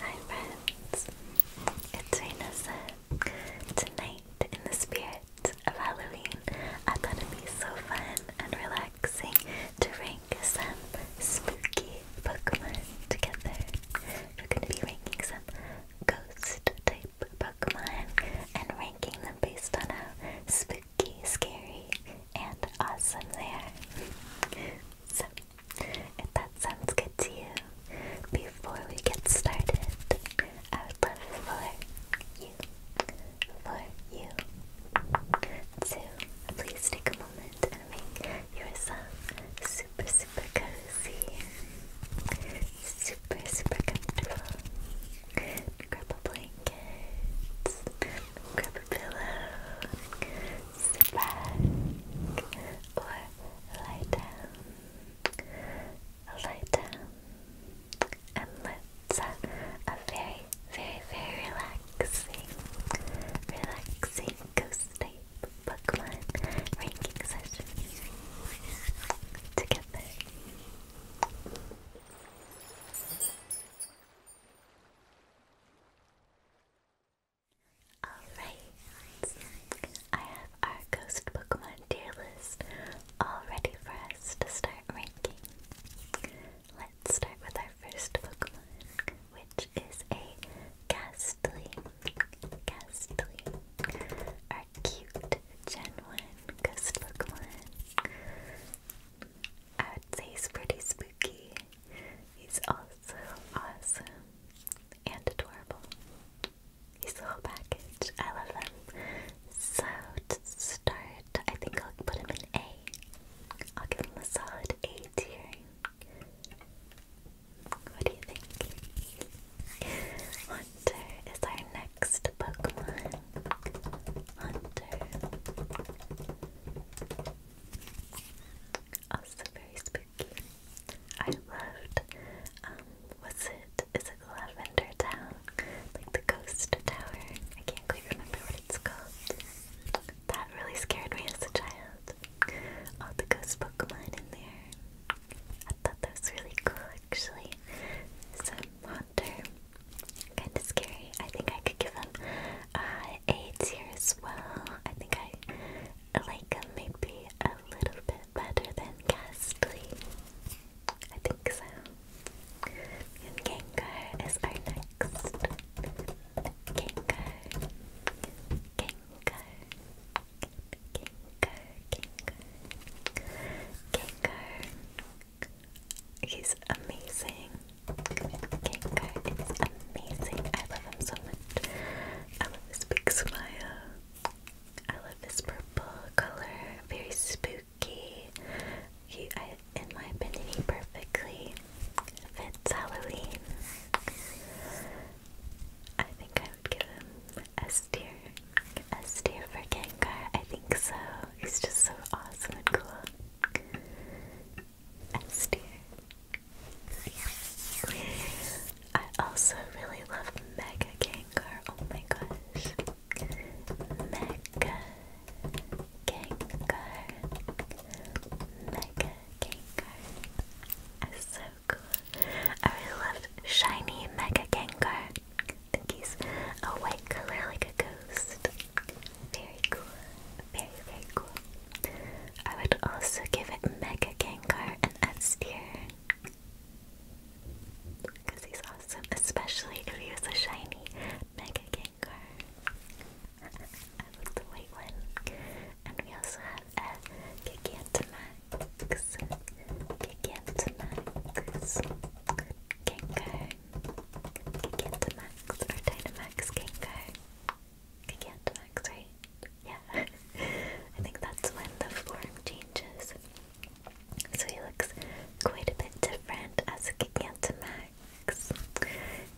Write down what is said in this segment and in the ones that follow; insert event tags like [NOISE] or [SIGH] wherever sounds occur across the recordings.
Hi friends, it's Rainosa. Tonight, in the spirit of Halloween, I thought it'd be so fun and relaxing to rank some spooky Pokemon together. We're gonna be ranking some ghost type Pokemon and ranking them based on a spooky spooky, scary, and awesome there. so, if that sounds good to you, before we get started, I would love for you, for you, to please take a moment and make yourself super, super cozy, super, super comfortable. Probably Okay. grab a pillow, sit back, or lie down, lie down, and let's have a very, very, very relaxing, relaxing ghost type Pokemon ranking session together. Alright, I have our Ghost Pokemon tier list all ready for us to start ranking. Let's start with our first Pokemon, which is a Ghastly. Ghastly. Our cute Gen 1 Ghost Pokemon. I would say he's pretty spooky. He's also awesome and adorable. He's a whole package. I love him. So to start, I think I'll put him in A. I'll give him a solid A tier. What do you think? Hunter is our next Pokemon. Hunter. Also very spooky. I loved, um, what's it? Is it Lavender Town? Like the ghost tower? I can't quite remember what it's called. That really scared me as a child. All the ghost Pokemon in there. I thought that was really cool actually. Some Haunter, Kinda scary. I think I could give him a tier as well. I think I like him maybe a little bit better than Ghastly. I think so. And Gengar is our next. Gengar. Gengar. Gengar. Gengar. Gengar. He's amazing. Kanko is amazing. I love him so much. I love his big smile. I love his purple color. Very spooky. He, I, in my opinion, he perfectly fits Halloween. I think I would give him S tier. S tier for Gengar. I think so. He's just so awesome and cool. I also really love Mega Gengar. Oh my gosh. Mega Gengar. Mega Gengar. so cool. I really loved Shiny Mega Gengar. I think he's a white color like a ghost. Very cool. Very, very cool. I would also give it Mega Gengar an S Because he's awesome, especially if he was a shiny Mega Gengar. I love the white one. And we also have a Gigantamax. Gigantamax. Gengar. Gigantamax or Dynamax Gengar. Gigantamax, right? Yeah. [LAUGHS] I think that's when the form changes. So he looks quite a bit different as a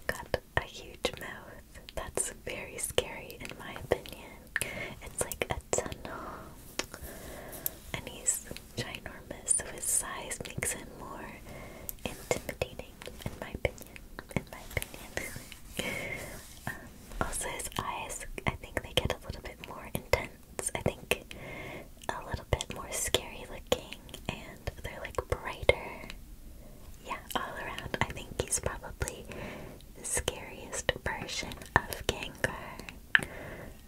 Got a huge mouth. That's very scary in my opinion. It's like a tunnel. And he's ginormous, so his size makes him more intimidating in my opinion. In my opinion. [LAUGHS] Um, also, his eyes, I think they get a little bit more intense. I think a little bit more scary looking, and they're like brighter. Yeah, all around. I think he's probably the scariest version of Gengar.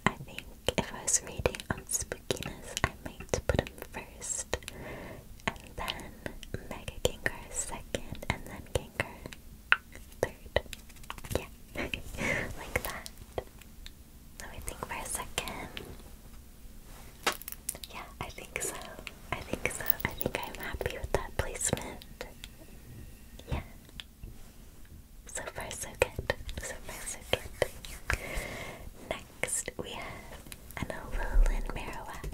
I think if I was reading on spookiness, I might put him first, and then Mega Gengar second, and then Gengar third. Yeah, [LAUGHS] like that. Let me think for a second. Yeah, I think so. I think so. I think I'm happy with that placement. Yeah. So far, so good. So far, so good. Next, we have an Alolan Marowak.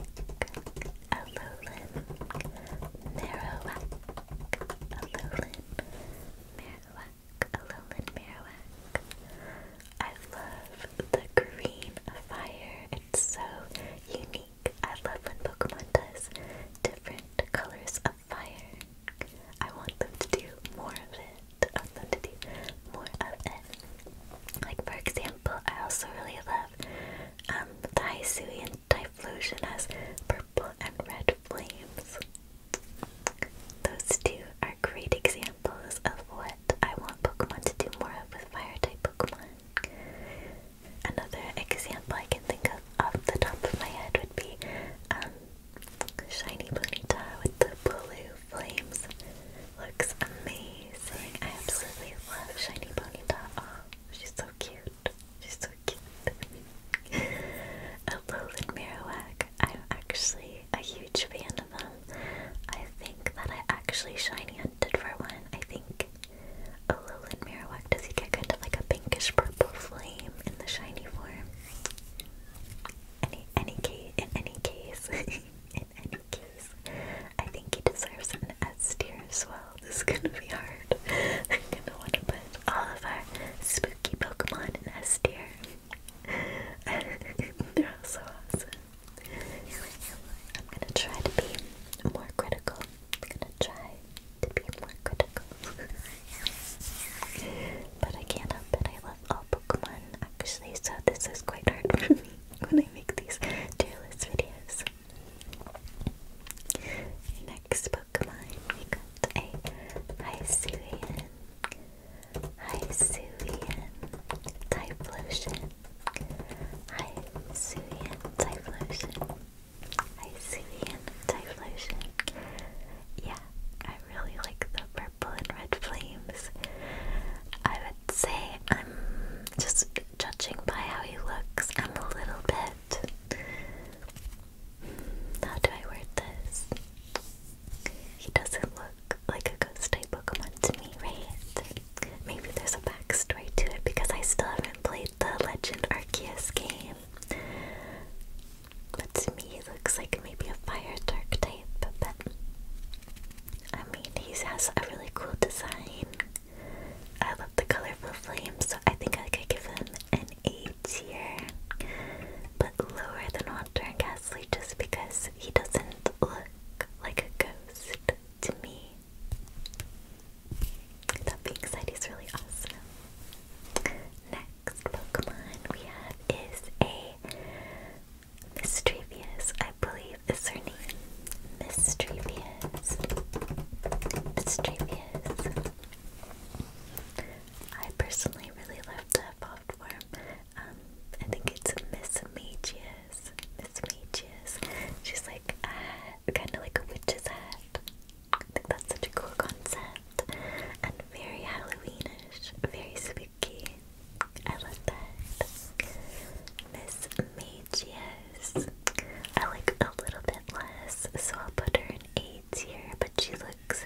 Alolan Marowak. Alolan Marowak. Alolan Marowak. I love the green fire. It's so unique. I love when Pokemon does different colors of fire. I want them to do more of it to do more of it. Like for example, I also really love um, the Hisui and Typhlosion has purple and red flames. Those two are great examples of what I want Pokemon to do more of with fire type Pokemon. Another example I can think of off the top of my head would be um, Shiny Bonita with the blue flames. Looks amazing. I absolutely love Shiny Ponyta. Oh, she's so cute. She's so cute. [LAUGHS] A Alolan Marowak. I'm actually a huge fan of them. I think that I actually shiny hunted for one. I think a Alolan Marowak, does he get kind of like a pinkish purple flame in the shiny form? Any, any case, in any case, [LAUGHS] I think he deserves an S tier [LAUGHS] This is gonna be hard. I'm gonna want to put all of our spooky Pokemon in S tier. [LAUGHS] They're all so awesome. I'm gonna try to be more critical. I'm gonna try to be more critical. [LAUGHS] but I can't help it, I love love oh, all Pokemon actually, so this is quite hard for me [LAUGHS] when I make these tier list videos. Next Pokemon, we got a Hisuian, Hisuian Typhlosion, Hisuian Typhlosion, Hisuian Typhlosion. Yeah, I really like the purple and red flames. I say I'm just judging by how he looks, I'm a little bit. How do I word this? He doesn't look like a ghost type Pokemon to me, right? Maybe there's a backstory to it because I still haven't played the Legend Arceus game. But to me, he looks like maybe a fire dark type, but I mean, he has a really cool design. I love the colorful flames, so I think I could give him an A here, but lower than Walter and Gasly just because he doesn't look like a ghost to me. That being said, he's really awesome. Next Pokemon we have is a Mistrevious, I believe, is her name. Mistrevious. Mistrevious. I personally really love that pop form. Um, I think it's Miss Magius. Miss Magius. She's like uh, kind of like a witch's hat. I think that's such a cool concept. And very Halloweenish, very spooky. I like that. Miss Magius. I like a little bit less, so I'll put her in A tier, but she looks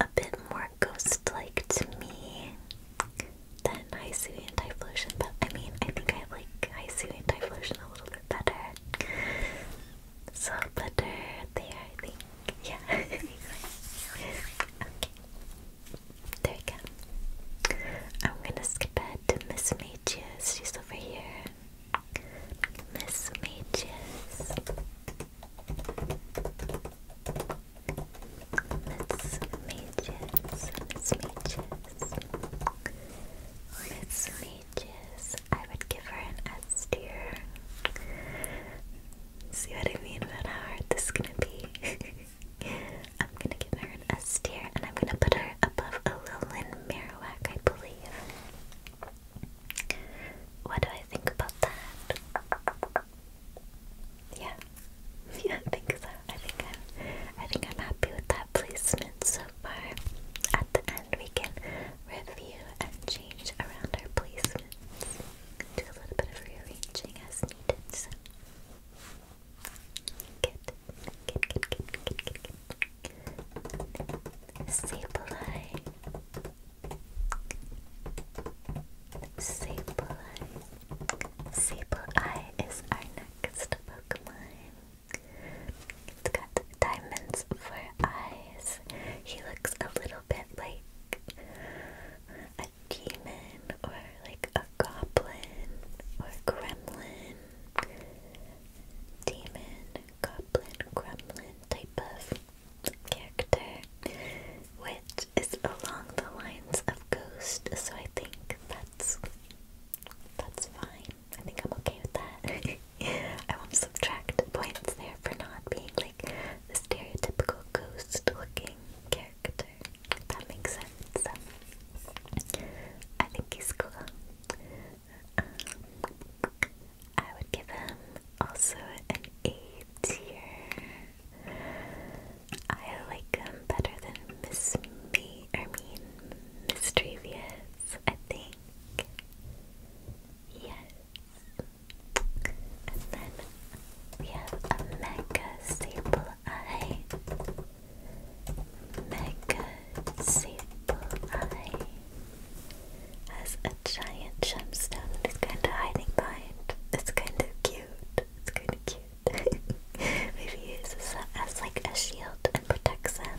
a bit more ghost-like to me than Hisui and Typhlosion, but I mean, I think I like Hisui and Typhlosion a little bit better. So put her there, I think. Yeah. [LAUGHS] okay. There we go. I'm gonna skip ahead to Miss Mages. She's over here. Miss Mages. Miss Mages. Miss Mages. Miss Mages. I would give her an S tier. See what I mean about how hard this is gonna be. [LAUGHS] I'm gonna give her an S and I'm gonna put her above a little Alolan Marowak, I believe. What do I think about that? Yeah, [LAUGHS] yeah, I think so. I think I'm, I think I'm happy with that placement so far. At the end, we can review and change around our placements, do a little bit of rearranging as needed. Good, good, good, good, good, good. is our next Pokemon. It's got diamonds for eyes. He looks a little bit like demon or like a goblin or gremlin. Demon, goblin, gremlin type of character, which is along the lines of ghost, so I think that's that's fine. I think I'm okay with that. [LAUGHS] I won't subtract points there for not being like the stereotypical ghost looking character that makes sense. I think he's cool. Um, I would give him also an A tier. I like him better than Miss Me, I mean, Miss Trevious, I think. Yes. And then we have a mega staple I eye, Megazebul eye has a giant gemstone and kind of hiding behind. It's kind of cute. It's kind of cute. [LAUGHS] Maybe he uses that as like a shield and protects him.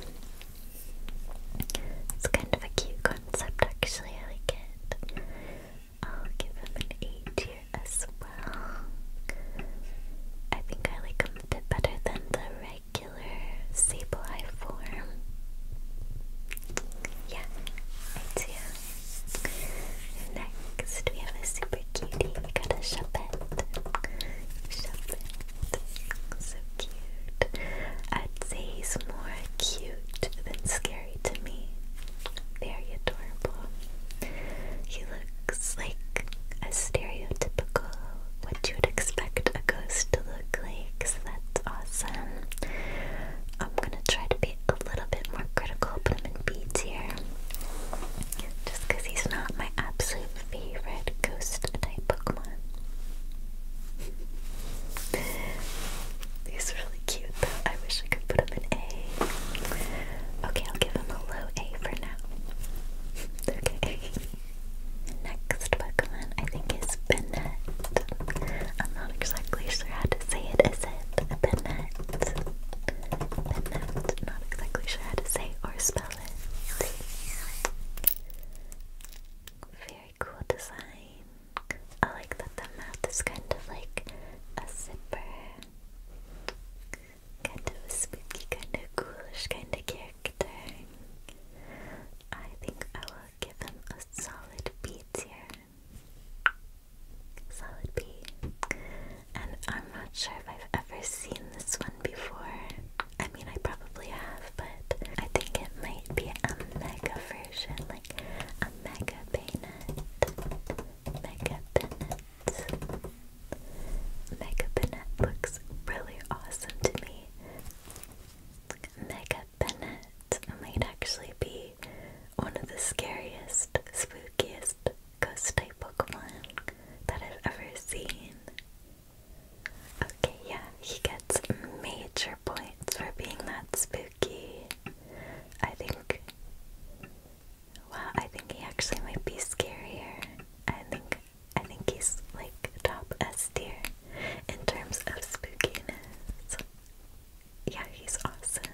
It's kind of a cute concept, actually. I like it. I'll give him an eight tier as well. I think I like him a bit better than the regular Sableye form. Yeah, I do. Next, we have a super cutie. We got a Shuppet. Shuppet. So cute. I'd say he's more cute than scary to me. Very adorable. He looks like a stereotypical what you would expect a ghost to look like, so that's awesome. I'm gonna try to be a little bit more critical, put him in B here, Just because he's not my absolute favorite ghost type Pokemon. [LAUGHS] he's cute I wish I could put him an A. Okay, I'll give him a low A for now. [LAUGHS] okay. Next Pokemon I think is Bennett. I'm not exactly sure how to say it. Is it Bennett? Bennett. Not exactly sure how to say or spell it. Very cool design. I like that the mouth is kind of like a zipper. Kind of spooky, kind of ghoulish kind of character. I think I will give him a solid B tier. Solid B. And I'm not sure if I've ever seen this one before. I mean, I probably have, but I think it might be a mega version, like a mega bayonet. Mega bayonet. Mega Bennett looks really awesome to me. Mega Bennett might actually be one of the scariest, spookiest ghost type Pokemon that I've ever seen. Okay, yeah, he gets major points for being that spooky. I think Wow, I think he actually might be scarier. I think I think he's like top S tier in terms of spookiness. Yeah, he's awesome.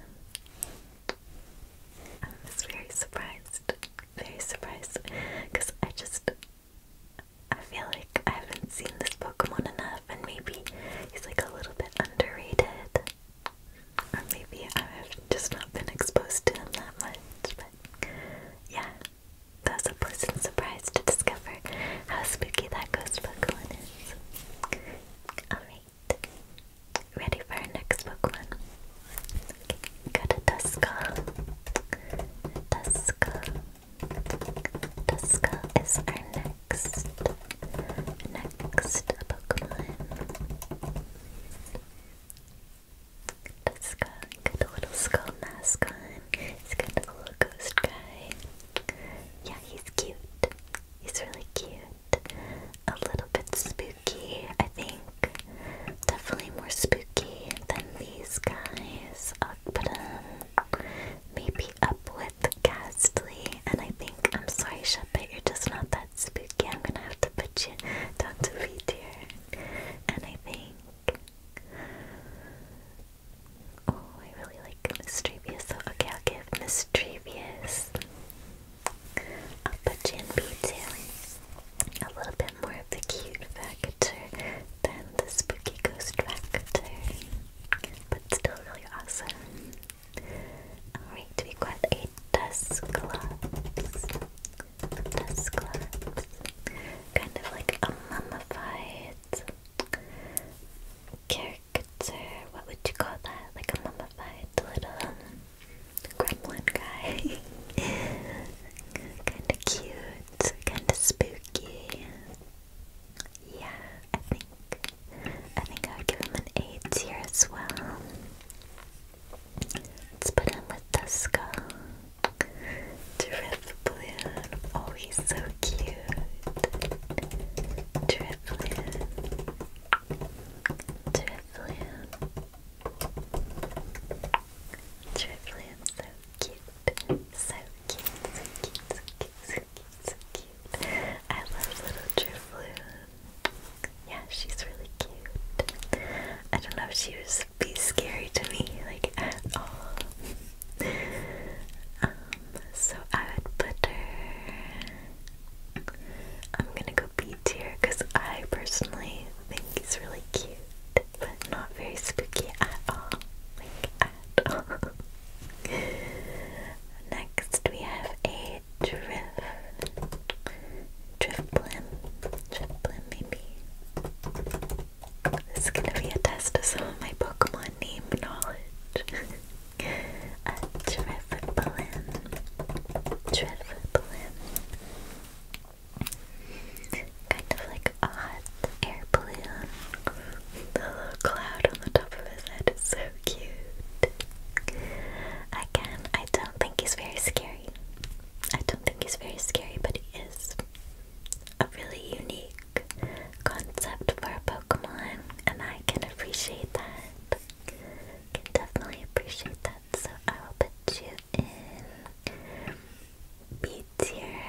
I was very surprised. Very surprised. Because I just I feel like I haven't seen this Pokemon enough and maybe he's like a little bit underrated. Or maybe I've just not been exposed to him that much, but yeah. That a pleasant surprise to discover how spooky that ghost Pokemon is. Alright. Ready for our next Pokemon? Okay, go to Duskull. Duskull. Duskull is our next next Pokemon. That's got, a little skull mask on. He's kind of a little ghost guy. Yeah, he's cute. He's really cute. A little bit spooky, I think. Definitely more spooky than these guys. I'll put maybe up with Ghastly. And I think, I'm sorry, Shepard, you're just not that spooky. I'm gonna have to put you down to V tier. And I think. Oh, I really like Mischievous. So, okay, I'll give Mischievous. i put in B tier. A little bit more of the cute factor than the spooky ghost factor. But still really awesome. Alright, we got a Dusclops. Dusclops. Kind of like a mummified caricature. What would you call that? Like a mummified little gremlin guy. [LAUGHS] kind of cute, kind of spooky. Yeah, I think I think I would give him an A tier as well. Let's put him the skull. Drip balloon. Oh, he's so cute. Drip balloon. Drip balloon. Drip balloon. So cute. So cute. So cute. So cute. So cute. I love little drip balloons yeah, she's really cute. I don't know if she would be scary to me like at all. um, so I would put her. I'm gonna go B tier because I personally think he's really cute, but not very spooky at all. Like at all. [LAUGHS] Next we have a drift, drift blim, maybe. This is gonna be a test of some of my Pokemon name knowledge. [LAUGHS] a drift blim, Kind of like a hot air The little cloud on the top of his head so cute. Again, I don't think he's very scary. I don't think he's very scary, but he is a really unique concept for a Pokemon, and I can appreciate that. Can definitely appreciate that. So I will put you in B tier.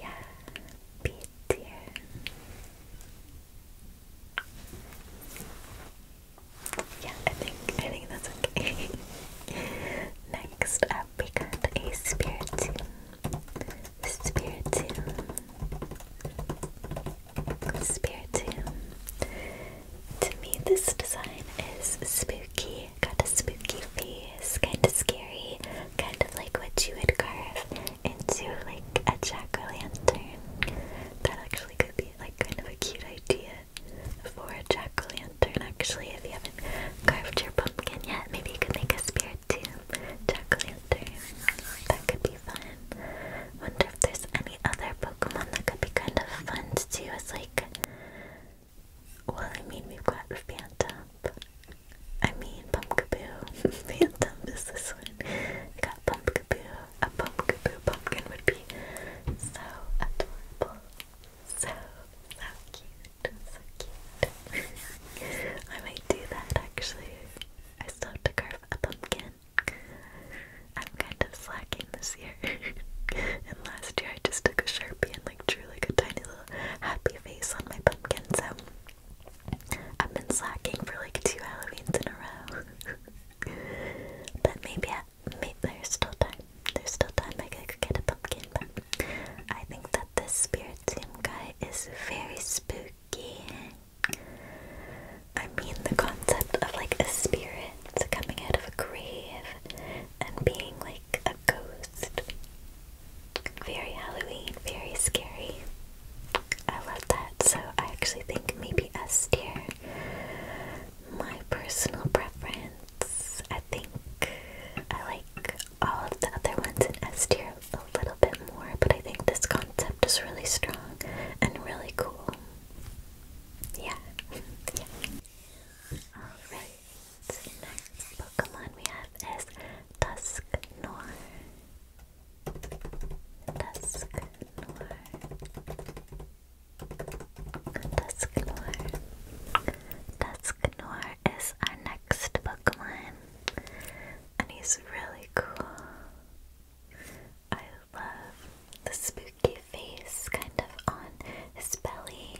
Yeah, B tier. Yeah, I think I think that's okay. [LAUGHS] Next up, we got a spirit tomb. Spirit tomb. Spirit tomb. To me, this design is spooky. Got a spooky face, kind of scary, kind of like what you would carve into like a jack o' lantern that actually could be like kind of a cute idea for a jack-o'-lantern actually. If you haven't carved your pumpkin yet, maybe you could make a spirit tomb jack-o'-lantern. That could be fun. Wonder if there's any other Pokemon that could be kind of fun to do as like well I mean we've got Phantom. I mean Pumpkaboo. [LAUGHS] Phantom is this one. We got Pumpkaboo, a pumpkin pumpkin would be so adorable. So, so cute. So cute. [LAUGHS] I might do that actually. I still have to carve a pumpkin. I'm kind of slacking this year. [LAUGHS] and last year I just took a sharpie and like drew like a tiny little happy face on my pumpkin. So I've been slacking for like two Halloweens in a row. [LAUGHS] but maybe, I, maybe there's still time. There's still time I could get a pumpkin. But I think that the spirit team guy is very spooky. I mean, the concept of like a spirit coming out of a grave and being like a ghost. Very Halloween, very scary. I love that. So I actually think maybe S My personal preference. I think I like all of the other ones in S a little bit more, but I think this concept is really strong and really cool. Yeah. yeah. [LAUGHS] Alright, next Pokemon we have is Dusknoir. Dusk Noir. Dusk Noir. Dusk Noir is our next Pokemon. And he's really cool. I love the spooky face kind of on his belly.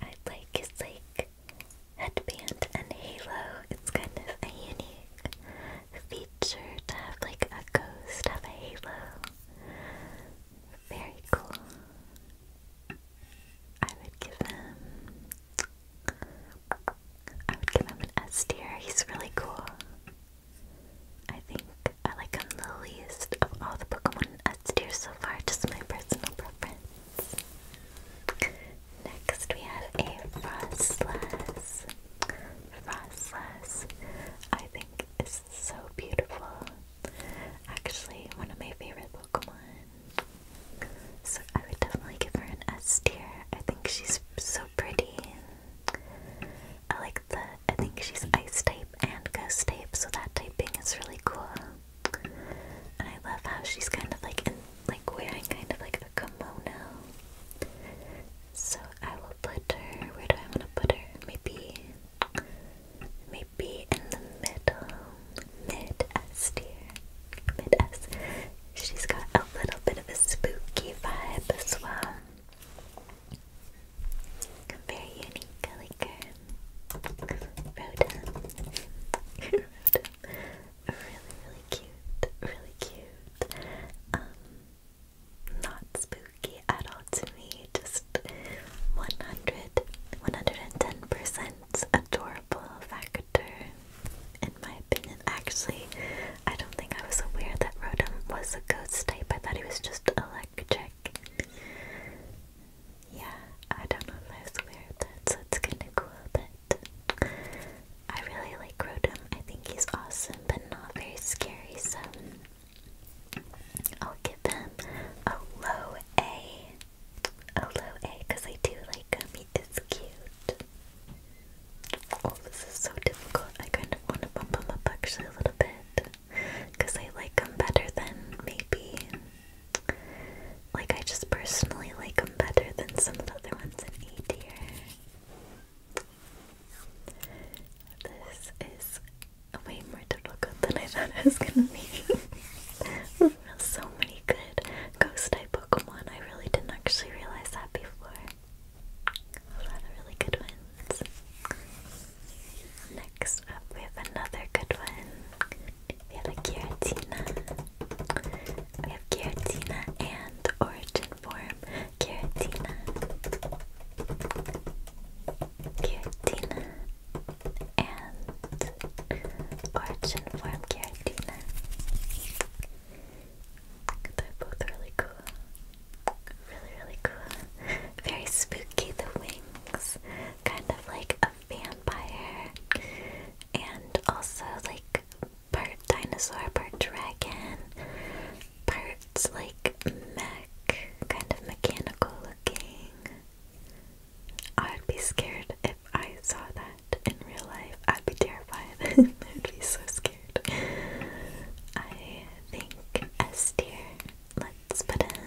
I like his like headband and halo. It's kind of a unique feature to have like a ghost have a halo. Very cool. I would give him I would give him an S tier. He's really cool. I think I like him the least of all the Pokemon in S tier so far, just my personal preference. Next we have a Frostless. Frostless, I think is so beautiful. Actually, one of my favorite Pokemon. So I would definitely give her an S tier. I think she's so pretty. I like the, I think she's ice type and ghost type, so that typing is really cool. And I love how she's kind of like like wearing kind of like kimono. So I will put her, where do I want to put her? Maybe, maybe in the middle, mid S tier, mid S. She's got a little bit of a spooky vibe as well. Very unique, like her. Rhoda. [LAUGHS] really, really cute, really cute. Um, not spooky at all to me, just 100, 110% adorable factor, in my opinion. Actually, I don't think I was aware that Rotom was a ghost type, I thought he was just electric. Yeah, I don't know if I was aware of that, so it's kinda cool that I really like Rotom. I think he's awesome, but not very scary, so I'll give him a low A. A low A, because I do like him. He is cute. Oh, this is so difficult. I kind of want to bump him up actually a little bit. Because I like him better than maybe. Like, I just personally like him better than some of the other ones in A tier. This is way more difficult than I thought it was gonna be. [LAUGHS] so many good ghost type Pokemon. I really didn't actually realize that before. A lot of really good ones. Next up, we have another good one. We have a Giratina. We have Giratina and Origin form Giratina. Giratina and origin form They're both really cool. Really, really cool. Very spooky, the wings. Kind of like a vampire and also like part dinosaur, part dragon, parts like mech, kind of mechanical looking. I'd be scared if I saw that in real life. I'd be terrified. [LAUGHS] I'd be so scared. I think S tier. Let's put in.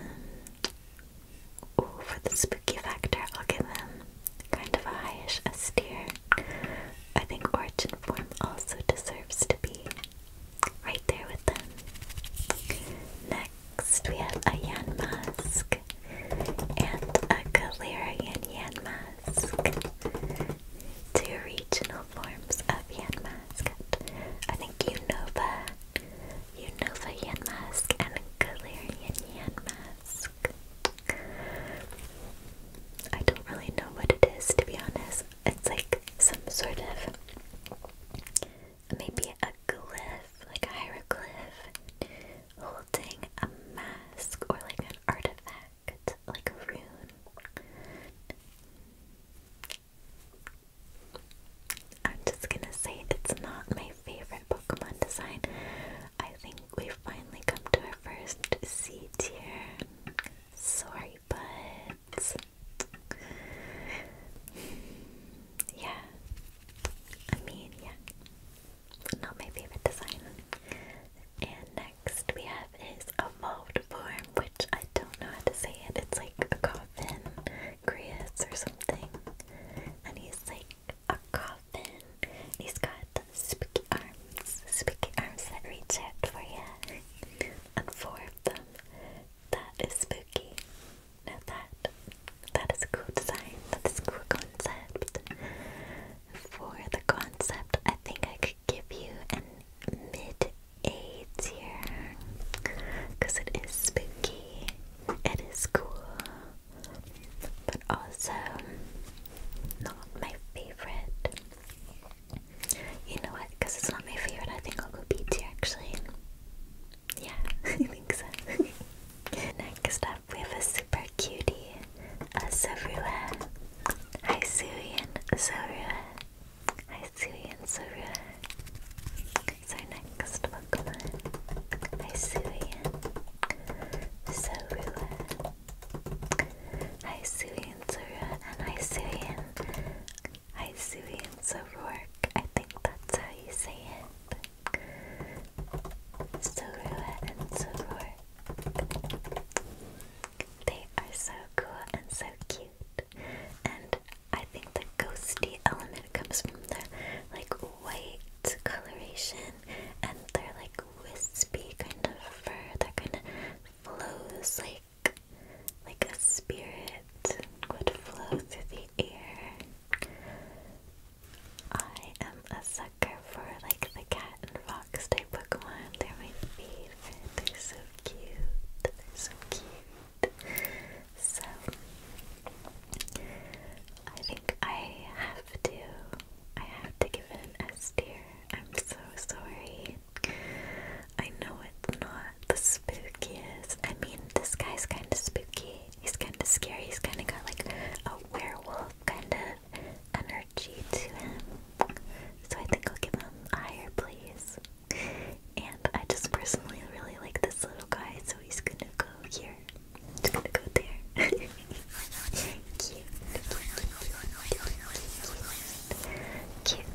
Ooh, for the spooky factor, I'll give him kind of a highish austere. I think origin form also deserves to be right there with them. Next, we have a Yan Mask and a Galarian Yan Mask. Two regional forms of Yan Mask. I think Unova, Unova Yan Mask, and Galarian Yan Mask. I don't really know what it is, to be honest. It's like some sort of maybe a glyph, like a hieroglyph, holding a mask or like an artifact, like a rune. I'm just gonna say it's not my favorite Pokemon design. I think we've finally come to our first C tier. Sorry, but yeah. I mean, yeah. Not my favorite design. And next we have is evolved form, which I don't know how to say it. It's like a coffin, Grius or something. And he's like a coffin. He's got got spiky arms, spiky arms that reach out for you, and four of them. That is spooky. Now that, that is a cool design, that is a cool concept. For the concept, I think I could give you an mid-A tier, because it is spooky, it is cool, but also not my favorite. You know what? Because it's not my favorite, I think I'll go B tier actually. Yeah, [LAUGHS] I think so. [LAUGHS] Next up, we have a super cutie, a Sarua. Hi, Suian Sarua. Hi, Suian Sarua. It's our next Pokemon. Hi, Suian Sarua. Hi Suey and Zora and hi Suey and Hi Suey and Zorork. I think that's how you say it. Zorua and Zorork. They are so cool and so cute. And I think the ghosty element comes from the like white coloration and their like wispy kind of fur that kind of flows like like a spirit would flow through the air. I am a sucker for like the cat and fox type Pokemon. They're my favorite. They're so cute. so cute. So I think I have to I have to give it an S tier. I'm so sorry. I know it's not the spookiest. I mean, this guy's kind of spooky. He's kind of scary. He's kind of got like a werewolf kind of energy to him. So I think I'll give him higher, please. And I just personally really like this little guy, so he's gonna go here. Just gonna go there. [LAUGHS] cute, cute,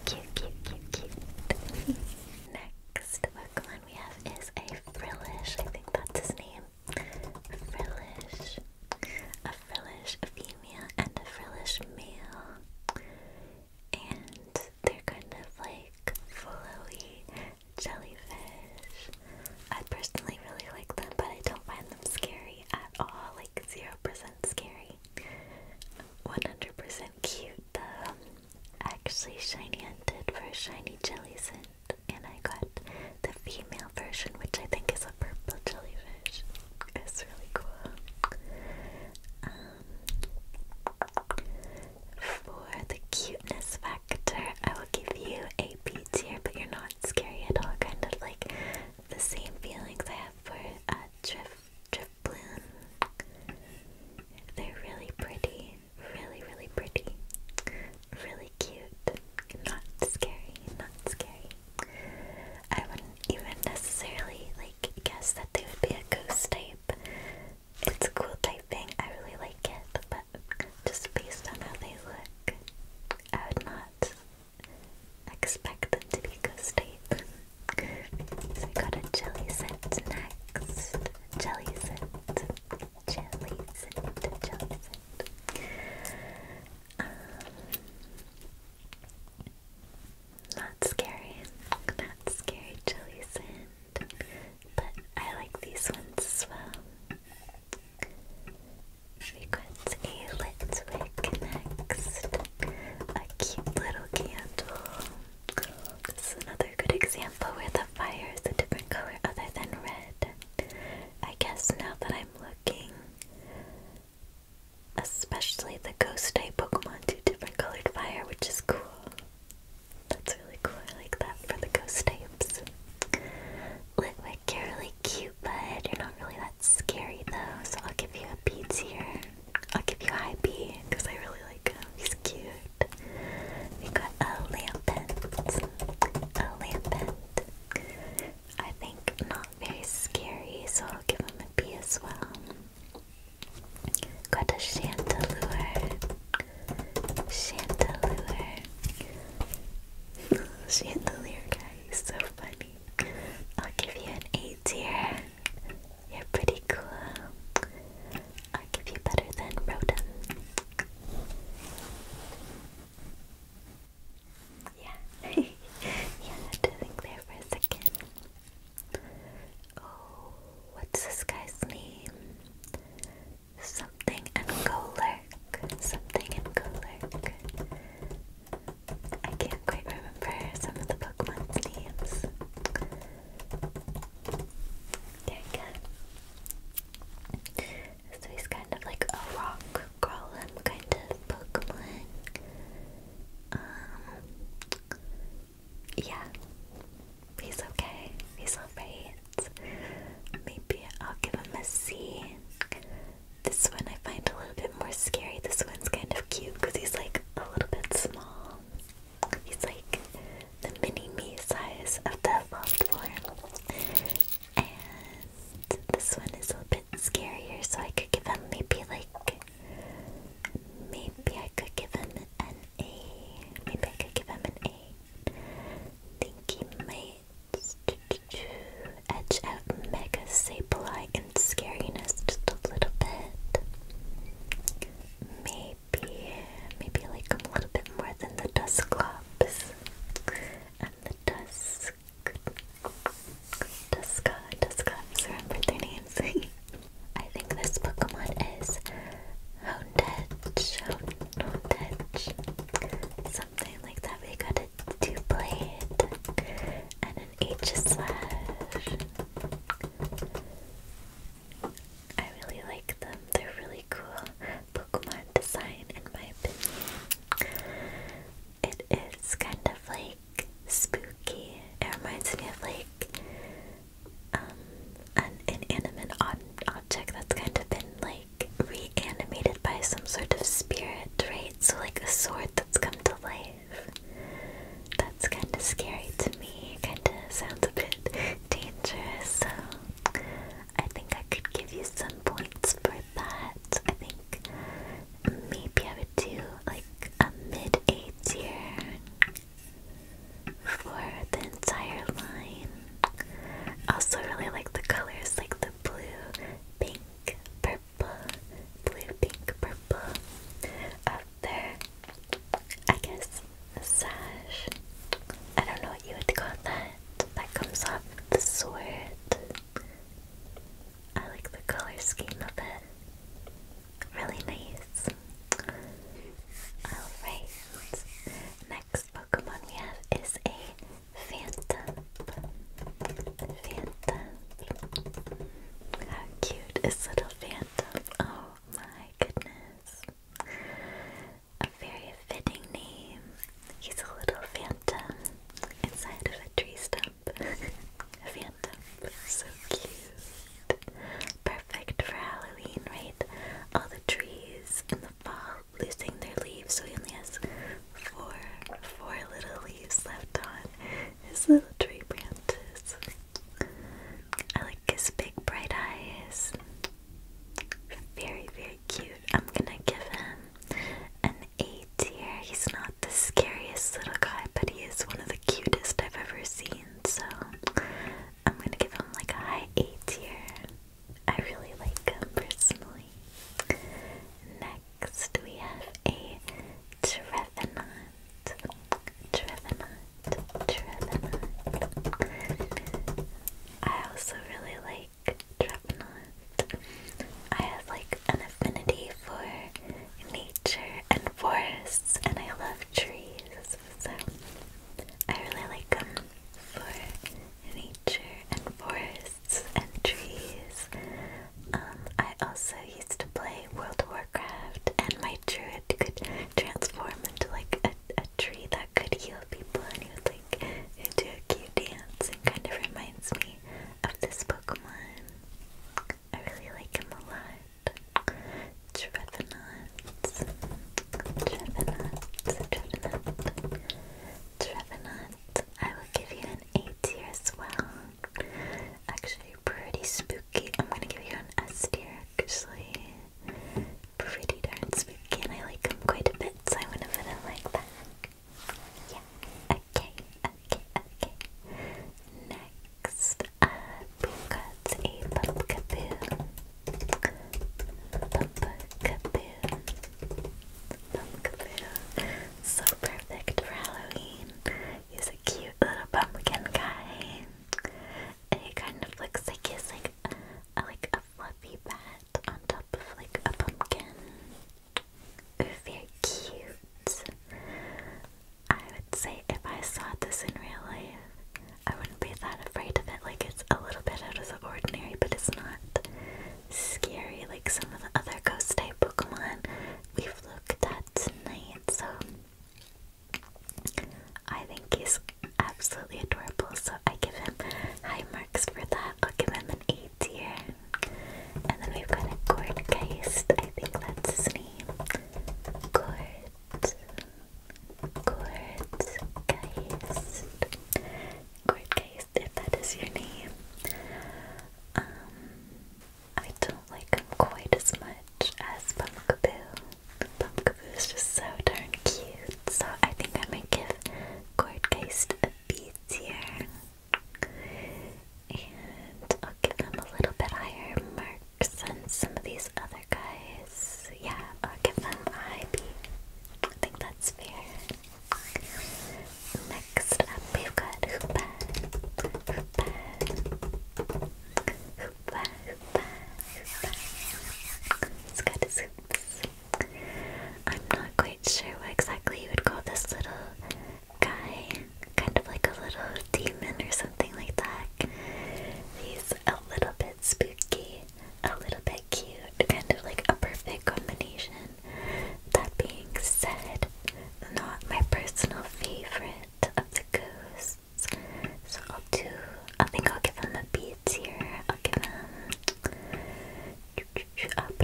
cute, cute, cute, cute. Next Pokemon we have is a Frillish. I think that's his name. Frillish, a Frillish female, and a Frillish male. And they're kind of like flowy jellyfish. I personally really like them, but I don't find them scary at all, like 0% scary. 100% cute though. Actually, Shiny hunted for a shiny jellycent, and I got the female version, which I think is a purple jellyfish. It's really cool. Um, for the cuteness factor, I will give you a B tier, but you're not scary at all. Kind of like the same feelings I have for uh, Drift, Drift Bloom. They're really pretty, really, really pretty, really cute, not scary, not scary. I wouldn't even necessarily like guess that they would be a ghost type. It's a cool type thing. I really like it, but just based on how they look, I would not expect it to be ghost so I got a jelly scent next. Jelly scent. Jelly scent. Jelly scent. Um, not scary. Not scary jelly scent. But I like these ones as well. Fragrance, a lit next. A cute little candle. another good example where the fire is a different color other than red. I guess now that I'm looking, especially the ghost type Pokemon do different colored fire, which is cool. That's really cool. I like that for the ghost types. Litwick, really cute, but you're not really that scary though, so I'll give you a B here. I'll give you a high B because I really like him. He's cute. We got a Lampent. A Lampent. I think not very scary, so I'll give him a B as well. Got a Chandelure. Chandelure. [LAUGHS] Chandelier guy, he's so funny. I'll give you an A here. You're pretty cool. I'll give you better than Rotom. Yeah. [LAUGHS] yeah, I had to for a second. Oh, what's this guy's name? Something and go lurk. Something and go lurk. I can't quite remember some of the Pokemon names. There you go. So he's kind of like a rock golem kind of Pokemon. Um, yeah, he's okay. He's alright. Maybe I'll give him a C. This one I find a little bit more scary. This one's kind of cute because he's like a little bit small. He's like the mini me size of the evolved And this one is a bit scarier, so I could give him maybe like. Maybe I could give him an A. Maybe I could give him an A. I think he edge out Mega Sableye and Scariness just a little bit. Maybe, maybe like a little bit more than the dust Dusclops. And the Dusk... Duska, Dusclops, remember their names. [LAUGHS] I think this Pokemon is Houndedge, Houndedge, something like that. We got two blade, and an H slash. I really like them. They're really cool Pokemon design in my opinion. It is kind of like spooky. It reminds me of like an inanimate object that's kind of been like animated by some sort of spirit, right? So, like a sword that's come to life. That's kind of scary to me. Kind of sounds a bit dangerous. So, I think I could give you some points for that. I think maybe I would do like a mid A tier for the entire line. Also, really like the colors, like the blue, pink, purple purple, blue, pink, purple. Up there, I guess a I don't know what you would call that. That comes off the sword. I like the color scheme of it. Really nice. Alright. Next Pokemon we have is a Phantom. Phantom. How cute is little Phantom? Oh my goodness. A very fitting name. He's a little phantom inside of a tree stump. [LAUGHS] phantom. So cute. Perfect for Halloween, right? All the trees in the fall losing their leaves, so he only has four, four little leaves left on his little tree branches. I like his big bright eyes. Very, very cute. I'm gonna give him an A tier. He's not the scariest little guy, but he is one of the cutest I've ever seen. So I'm gonna give him like a high A tier. I really like him personally. Next. Next we have a Trevenant. Trevenant. Trevenant. I also really like Trevenant. I have like an affinity for nature and forests and I love trees. So I really like them for nature and forests and trees. Um, I also used to play World of Warcraft, and my druid could transform into like a, a tree that could heal people, and he would like into a cute dance. It kind of reminds me of this Pokemon. I really like him a lot. Trevenant. Trevenant. Trevenant. Trevenant, I will give you an A tier as well. Actually, pretty spooky. I'm gonna give you an S tier, actually. Pretty darn spooky, I like them quite a bit, so I'm gonna put it like that. Yeah. Okay, okay, okay. Next a Pumpkaboo. Pumpkaboo. So perfect for Halloween. He's a cute little pumpkin guy. And he kind of looks like he's like like a fluffy bat on top of like a pumpkin. Very cute. I would say if I saw this in real life, I wouldn't be that afraid of it. Like it's a little bit out of the ordinary, but it's not scary like some of the other ghost type Pokemon we've looked at tonight. So I think he's absolutely adorable. So I give him high marks for that. I'll give him an A here. And then we've got a Gordgeist. I think that's his name. Gord. Gordgeist. Gordgeist if that is your name. Um I don't like him quite as much as Pumpkaboo. Pumpkaboo is just so darn cute. So I think I might give Gordgeist a B tier. And I'll give him a little bit higher marks than some of these other guys. Yeah, I'll give them a high think that's fair. Next up, we've got Hoopa, Hoopa, Hoopa, Hoopa, It's got his hoops. I'm not quite sure what exactly you would call this little guy. Kind of like a little demon or something like that. He's a little bit spooky, a little bit cute, kind of like a perfect combination. That being said, not my personal favorite of the ghosts. So I'll do, I think I'll give him the beads here. I'll give him up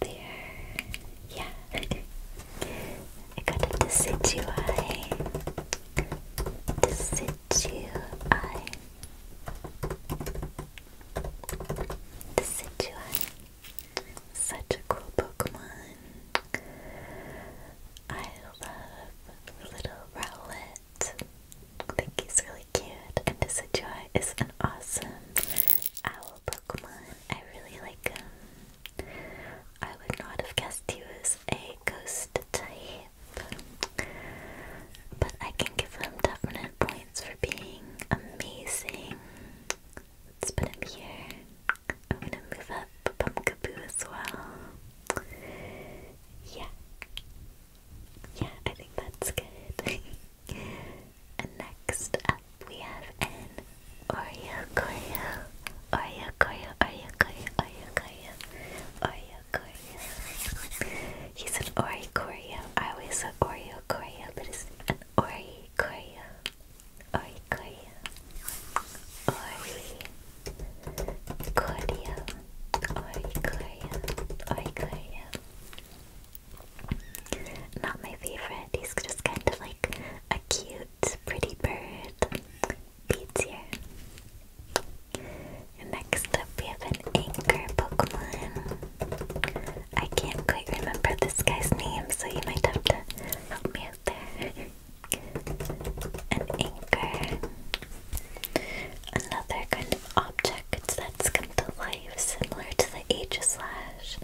there. Yeah. I got a decidui. Decidui. Decidui. Such a cool Pokemon. I love little Rowlet. I think he's really cute. And Decidueye is an awesome owl Pokemon. I really like him. I would not have guessed he was a ghost type. But I can give him definite points for being amazing. Let's put him here. I'm gonna move up Pumpkaboo as well. Yeah. Yeah, I think that's good. [LAUGHS] and next up we have an Oreo Corio. Oreo Corio, Oreo Corio, Oreo Corio, Oreo Corio. He's an Oreo Corio. I always say Oreo Corio, but it's Ori Korea, Ori Korea, Ori Korea, Ori Korea, Ori Korea. Not my favorite. He's just kind of like a cute, pretty bird. Beats here. Next up, we have an anchor Pokemon. I can't quite remember this guy's name, so you might have to help me out there. An anchor. Another kind of object that's come to life, similar to the Aegis Lash.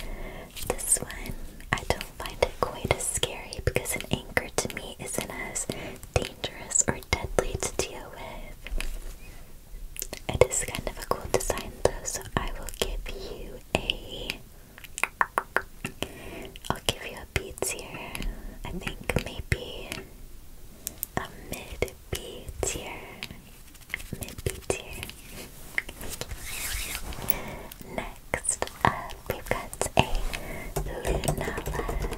This one, I don't find it quite as scary because an anchor to me isn't as dangerous or deadly to deal with. It is kind of a cool design though, so I will give you a. I'll give you a B tier. I think maybe a mid B tier. Mid B tier. Next up, we've got a Lunala.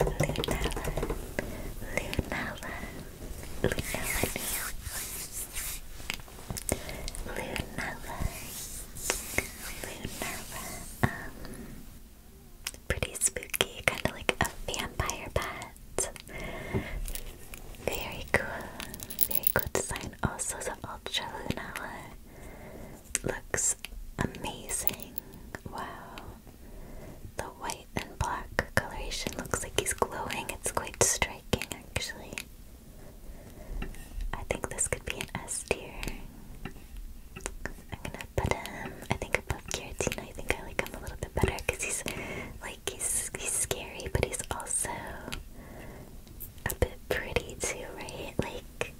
Lunala. Lunala. Lunala. Lunella. Lunella. Um, pretty spooky, kind of like a vampire bat. Very cool. Very cool design. Also, the Ultra Lunella looks amazing. Wow. The white and black coloration looks like he's glowing. It's quite striking, actually. I think this could be an S tier. I'm gonna put him, I think, above Giratina. I think I like him a little bit better because he's like, he's, he's scary, but he's also a bit pretty too, right? Like,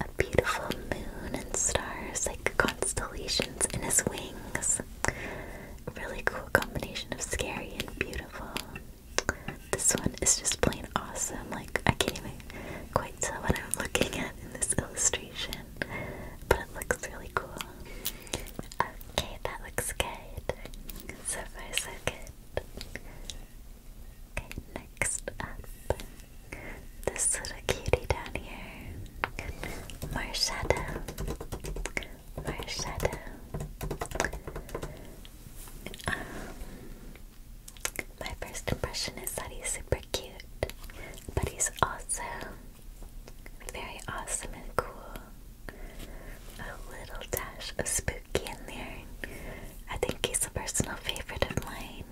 a beautiful moon and stars, like constellations in his wings a really cool combination of scary and beautiful. This one is just plain awesome. Like I can't even quite tell what I'm looking at in this illustration, but it looks really cool. Okay, that looks good. So far, so good. Okay, next up, this little cutie down here, Marshada our uh, my first impression is that he's super cute, but he's also very awesome and cool. A little dash of spooky in there. I think he's a personal favorite of mine,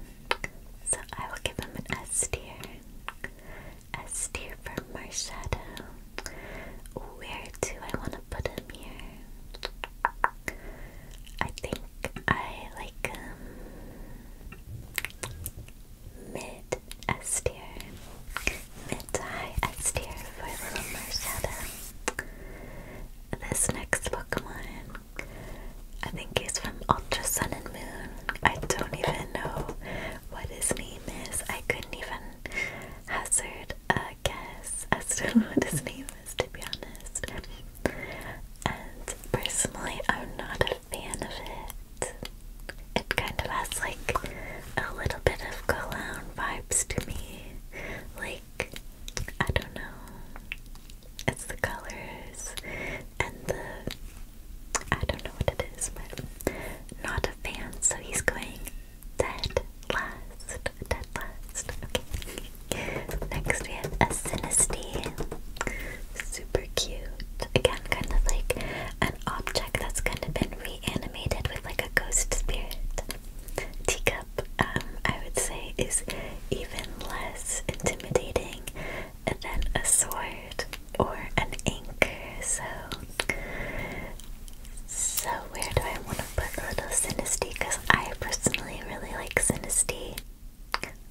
so I will give him an S tier. S tier for my shadow. Where do I want to put him here? I think I like um, mid S mid high S tier for little Marshadow. This next Pokemon, I think he's from Ultra Sun and Moon. I don't even know what his name is. I couldn't even hazard a guess as to [LAUGHS] what his name to be honest. And personally, I'm not a fan of it. It kind of has like a little bit of cologne vibes to me. Like, I don't know. It's the colors and the. I don't know what it is, but not a fan, so he's going Dead last. Dead last. Okay. Next we have a Sinistea. Super cute. Again, kind of like an object that's kind of been reanimated with like a ghost spirit. Teacup, um, I would say, is even less intimidating than a sword or an anchor. So so where do I want to put a little Synesty? Because I personally really like Synesty.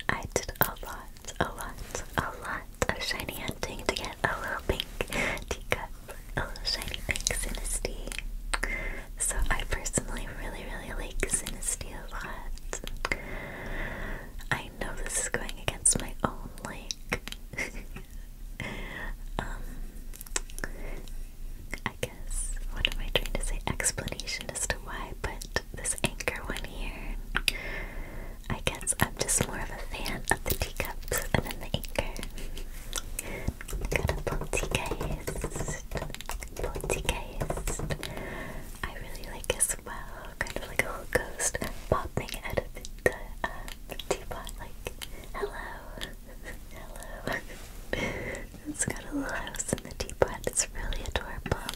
I did a lot, a lot, a lot of shiny hunting to get a little pink teacup, a little shiny pink Synesty. So I personally really, really like Synesty a lot. I know this is going against my own like [LAUGHS] um, I guess, what am I trying to say? Explanation as to why but this anchor one here. I guess I'm just more of a fan of the teacups and then the anchor. Got a poltergeist. Poltergeist. I really like as well, kind of like a ghost popping out of the, uh, teapot, like Hello. Hello. [LAUGHS] it's got a little house in the teapot. It's really adorable.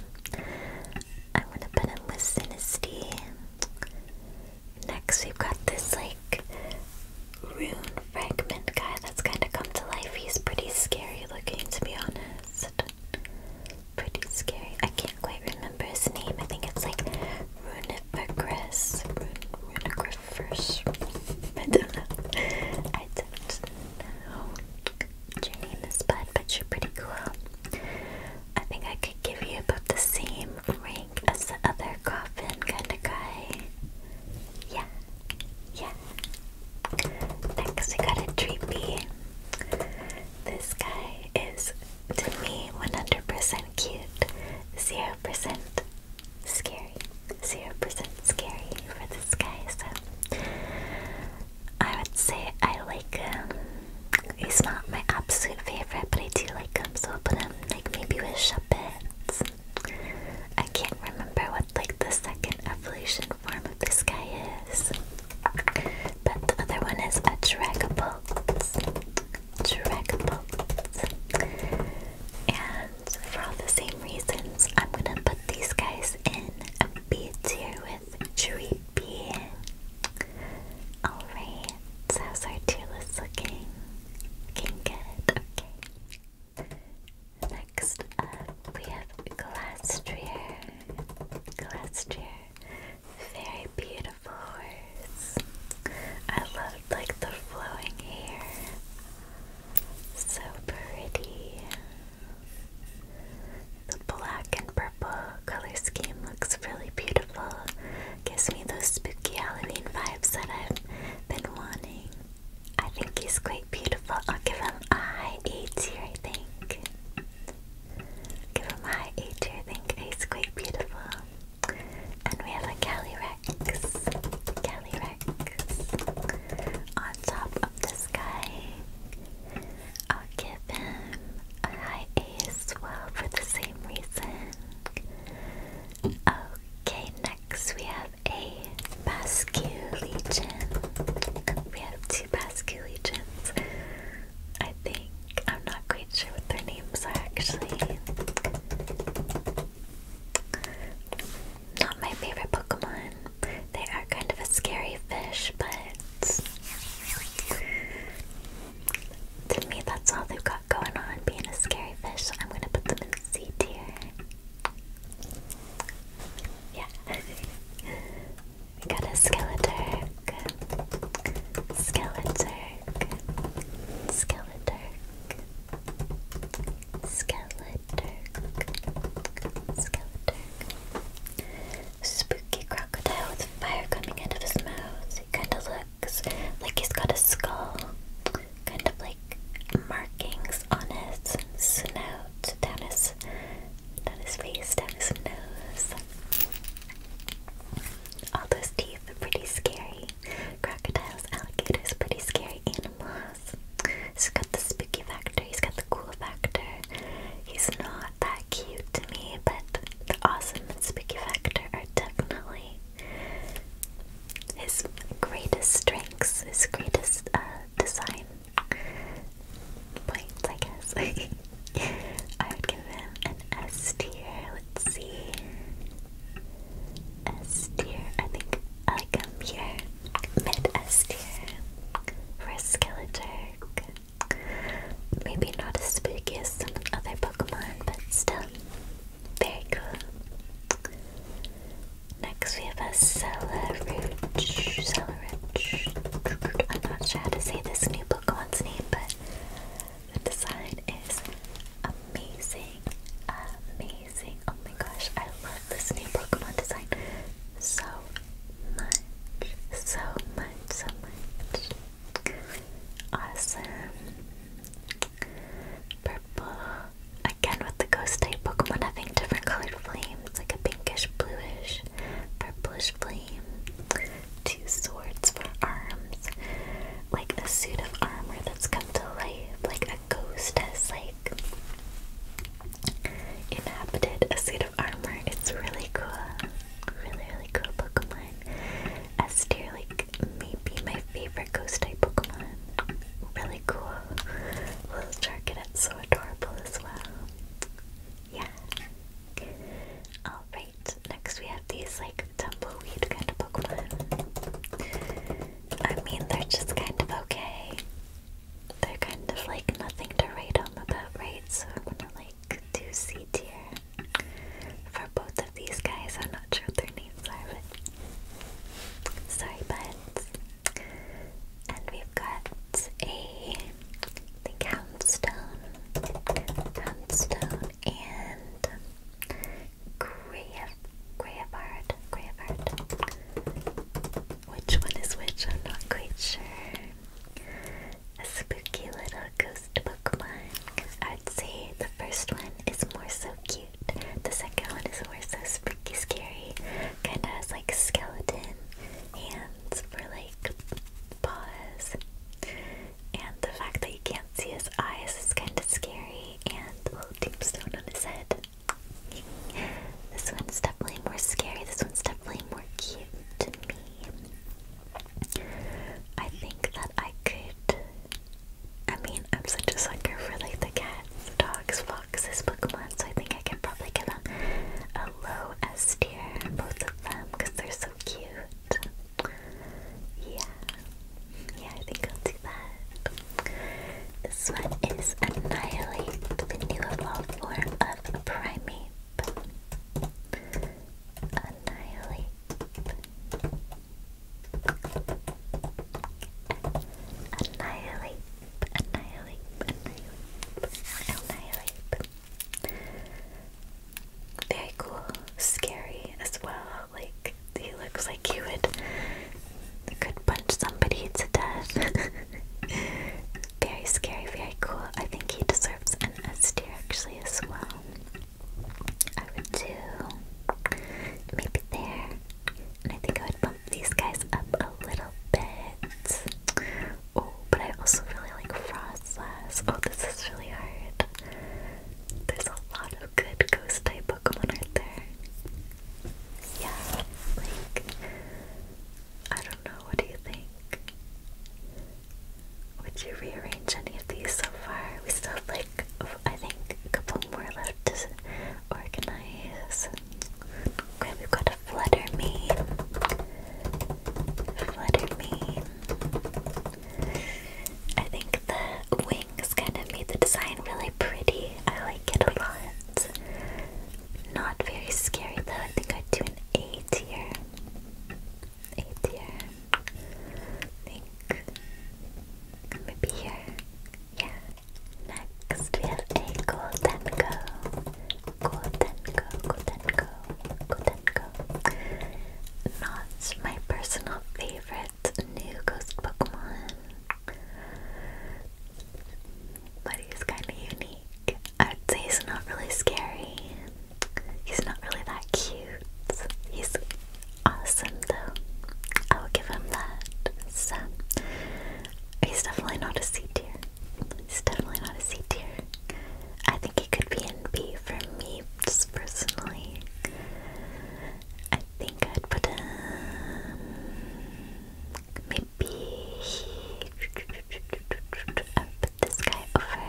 I'm gonna put in with Synesty. Next, we've got this like rune fragment guy that's kind of come to life. He's pretty scary looking, to be honest. Pretty scary. I can't quite remember his name. I think it's like Rune Regress, Runegriffers. I don't know. I don't know your name is, bud, but you're pretty cool. I think I could give you about the same rank as the other coffin kind of guy. Yeah, yeah. Next, we got a Treepy. This guy is, to me, 100% cute, 0% scary, 0% scary for this guy, so I would say I like him. Um, it's not my absolute favorite, but I do like him, so I'll put him like maybe with Shuppets. I can't remember what like the second evolution form of this guy is. But the other one is a Dragapult. Dragon Balls. And for all the same reasons, I'm gonna put these guys in a B tier with Dreepy. Alright, so how's our tier list looking? Looking good, okay. Next up, we have Glastrier. Glastrier. Very beautiful flowers. I loved like the flowing hair. So pretty. The black and purple color scheme looks really beautiful. Gives me those spooky Halloween vibes that I've been wanting. I think he's quite beautiful. I'll give him a high A tier, I think. Give him a high A tier, I think he's quite beautiful. And we have a Calyrex. Calyrex. On top of this guy. I'll give him a high A as well for the same reason. Okay, next we have a Basque Legion. We have two Basque I think. I'm not quite sure what their names are actually. Not my favorite Pokemon. They are kind of a scary fish, but to me, that's all they've got going on being a scary fish. So I'm gonna put them in C tier. Yeah. we got a Skeleturk. Skeleturk. Skeleturk. Skeleturk, Skeleturk. Spooky crocodile with fire coming out of his mouth. He kind of looks like he's got a skull, kind of like markings on his snout, down his, down his face, down his nose. All those teeth are pretty scary. Crocodiles, alligators, pretty scary animals. He's got the spooky factor, he's got the cool factor. He's not that cute to me, but the awesome and spooky factor are definitely his greatest strengths, his greatest uh, design points, I guess. [LAUGHS] I would give him an S tier, see. S tier. I think I come um, here. Mid S tier. For Skeleturk. Maybe not as spooky as some other Pokemon, but still very cool. Next we have a Cellaruch. Cellaruch. I'm not sure how to say this new Pokemon's name, but the design is amazing, amazing. Oh my gosh, I love this new Pokemon design so much, so much, so much. Awesome. Purple. Again with the ghost type Pokemon having different colored flames, like a pinkish, bluish, purplish flame. Two swords for arms, like a suit of armor that's come to life, like a ghost has like inhabited a suit of armor. It's really cool, really really cool Pokemon. Estir, like maybe my favorite ghost type Pokemon. Really cool. Little Charcadet, so adorable as well. Yeah. Alright, next we have these like tumbleweed kind of Pokemon. I mean, they're just kind of okay. They're kind of like nothing to write home about, right? So I'm gonna like do C tier for both of these guys. I'm not sure what their names are, sorry, but. And we've got a I think Houndstone, Houndstone, and Grave, Graveyard, Graveyard. Which one is which? I'm not quite sure. A spooky little ghost Pokemon. I'd say the first one is more so cute. The second one is more so spooky, scary. Kinda has like skeleton hands for like paws. And the fact that you can't see his eyes is kind of scary. And the little tombstone on his head. this one's definitely more scary. This one's definitely more cute to me. I think that I could. I mean, I'm such a sucker for like the cats, dogs, foxes, Pokemon, so I think I can probably give them a low S tier, both of them, because they're so cute. Yeah. Yeah, I think I'll do that. This one is Annihilate, the new evolved form of Primate. Annihilate. Annihilate. Annihilate. Annihilate. Very cool. Scary as well like he looks like he would could punch somebody to death. [LAUGHS] very scary, very cool. I think he deserves an S tier actually as well. I would do maybe there. And I think I would bump these guys up a little bit. Oh, but I also really like Frostlass. Oh, this is really hard. There's a lot of good ghost type Pokemon aren't there? Yeah, like I don't know, what do you think? Would you rearrange any of these so far? We still have like I think a couple more left to organize. Okay, we've got a flutter me. Flutter me. I think the wings kind of made the design really pretty. I like it a lot. Not very scary though. I think I'd do an A tier. A tier. think maybe here. Yeah. Next we have Goldenko. Goldenko, Goldenko, Goldenko. Not my personal favorite it's a new ghost Pokemon. But he's kind of unique. I would say he's not really scary. He's not really that cute. He's awesome though. I will give him that. So, he's definitely not a C tier. He's definitely not a C tier. I think he could be an B for me, just personally. I think I'd put um, maybe I'll put this guy over.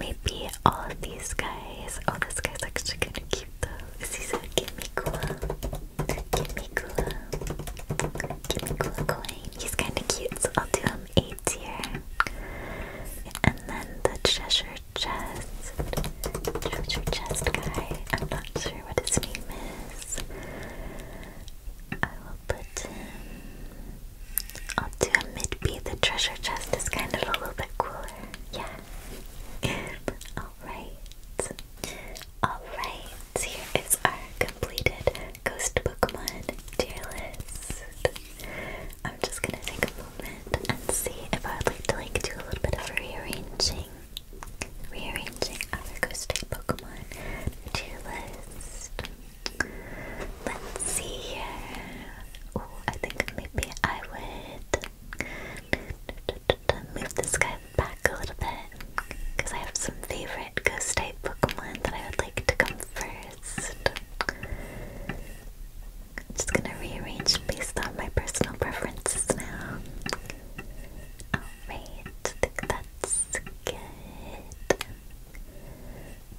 Maybe all of these guys. Oh, this guy's actually kind of cute though. Is he so Kimikula? Kimikula. Kimikula coin. He's kind of cute, so I'll do him 8 tier. And then the treasure your chest. Touch I'm not sure what its name is. I will put I'll do a mid B. The treasure chest is kind of a little bit cooler. Yeah. [LAUGHS] Alright. Alright. Here is our completed ghost Pokemon tier list. I'm just gonna take a moment and see if I'd like to like do a little bit of rearranging. Rearranging other ghost type Pokemon to your list. Let's see here. Oh, I think maybe I would move this guy back a little bit because I have some favorite ghost type Pokemon that I would like to come first. I'm just gonna rearrange based on my personal preferences now. Oh, Alright, I think that's good.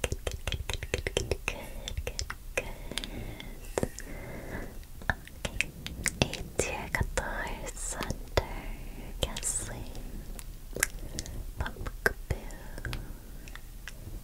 Good, good, good, good, good, good, good, good, good. Okay. Etir Katar Sunder Gasling Pumpkaboo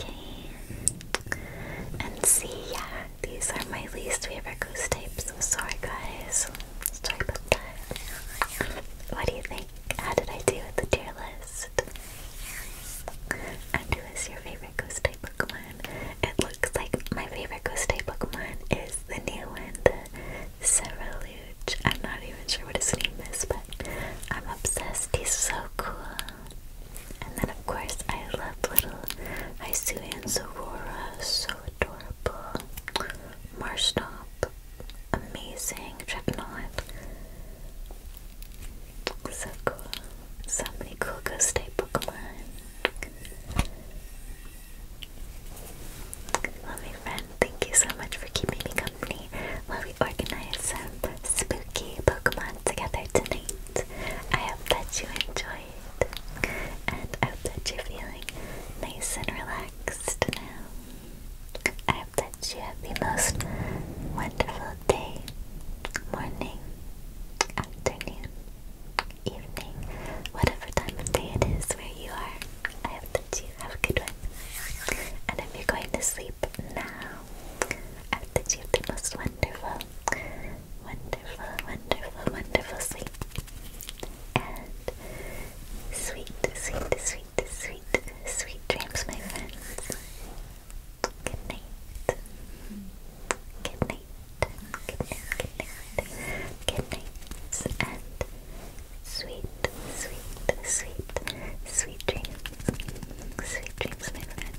Okay. And see, yeah, these are my least favorite ghost types. I'm sorry, guys. Sorry about that. What do you think? How did I do with the tier list? And who is your favorite ghost type Pokemon? It looks like my favorite ghost type Pokemon is the new one, the Cerulean. I'm not even sure what his name is, but I'm obsessed. He's so cool. And then, of course, I love little and Sorora, so adorable. Marshtop, amazing. Dreadnought, so cool. So many cool Ghost type Pokemon. friend, thank you so much for keeping me company while we organize some spooky Pokemon together tonight. I hope that you enjoy it, and I hope that you're feeling nice and relaxed now. I hope that you have the most wonderful day, morning, afternoon, evening, whatever time of day it is where you are. I hope that you have a good one. And if you're going to sleep now, and you the most wonderful, wonderful, wonderful, wonderful sleep. And sweet, sweet, sweet, sweet, sweet dreams, my friends. Good night. Good night. Good night. Good night. Good night. And sweet, sweet, sweet, sweet dreams. Sweet dreams, my friends.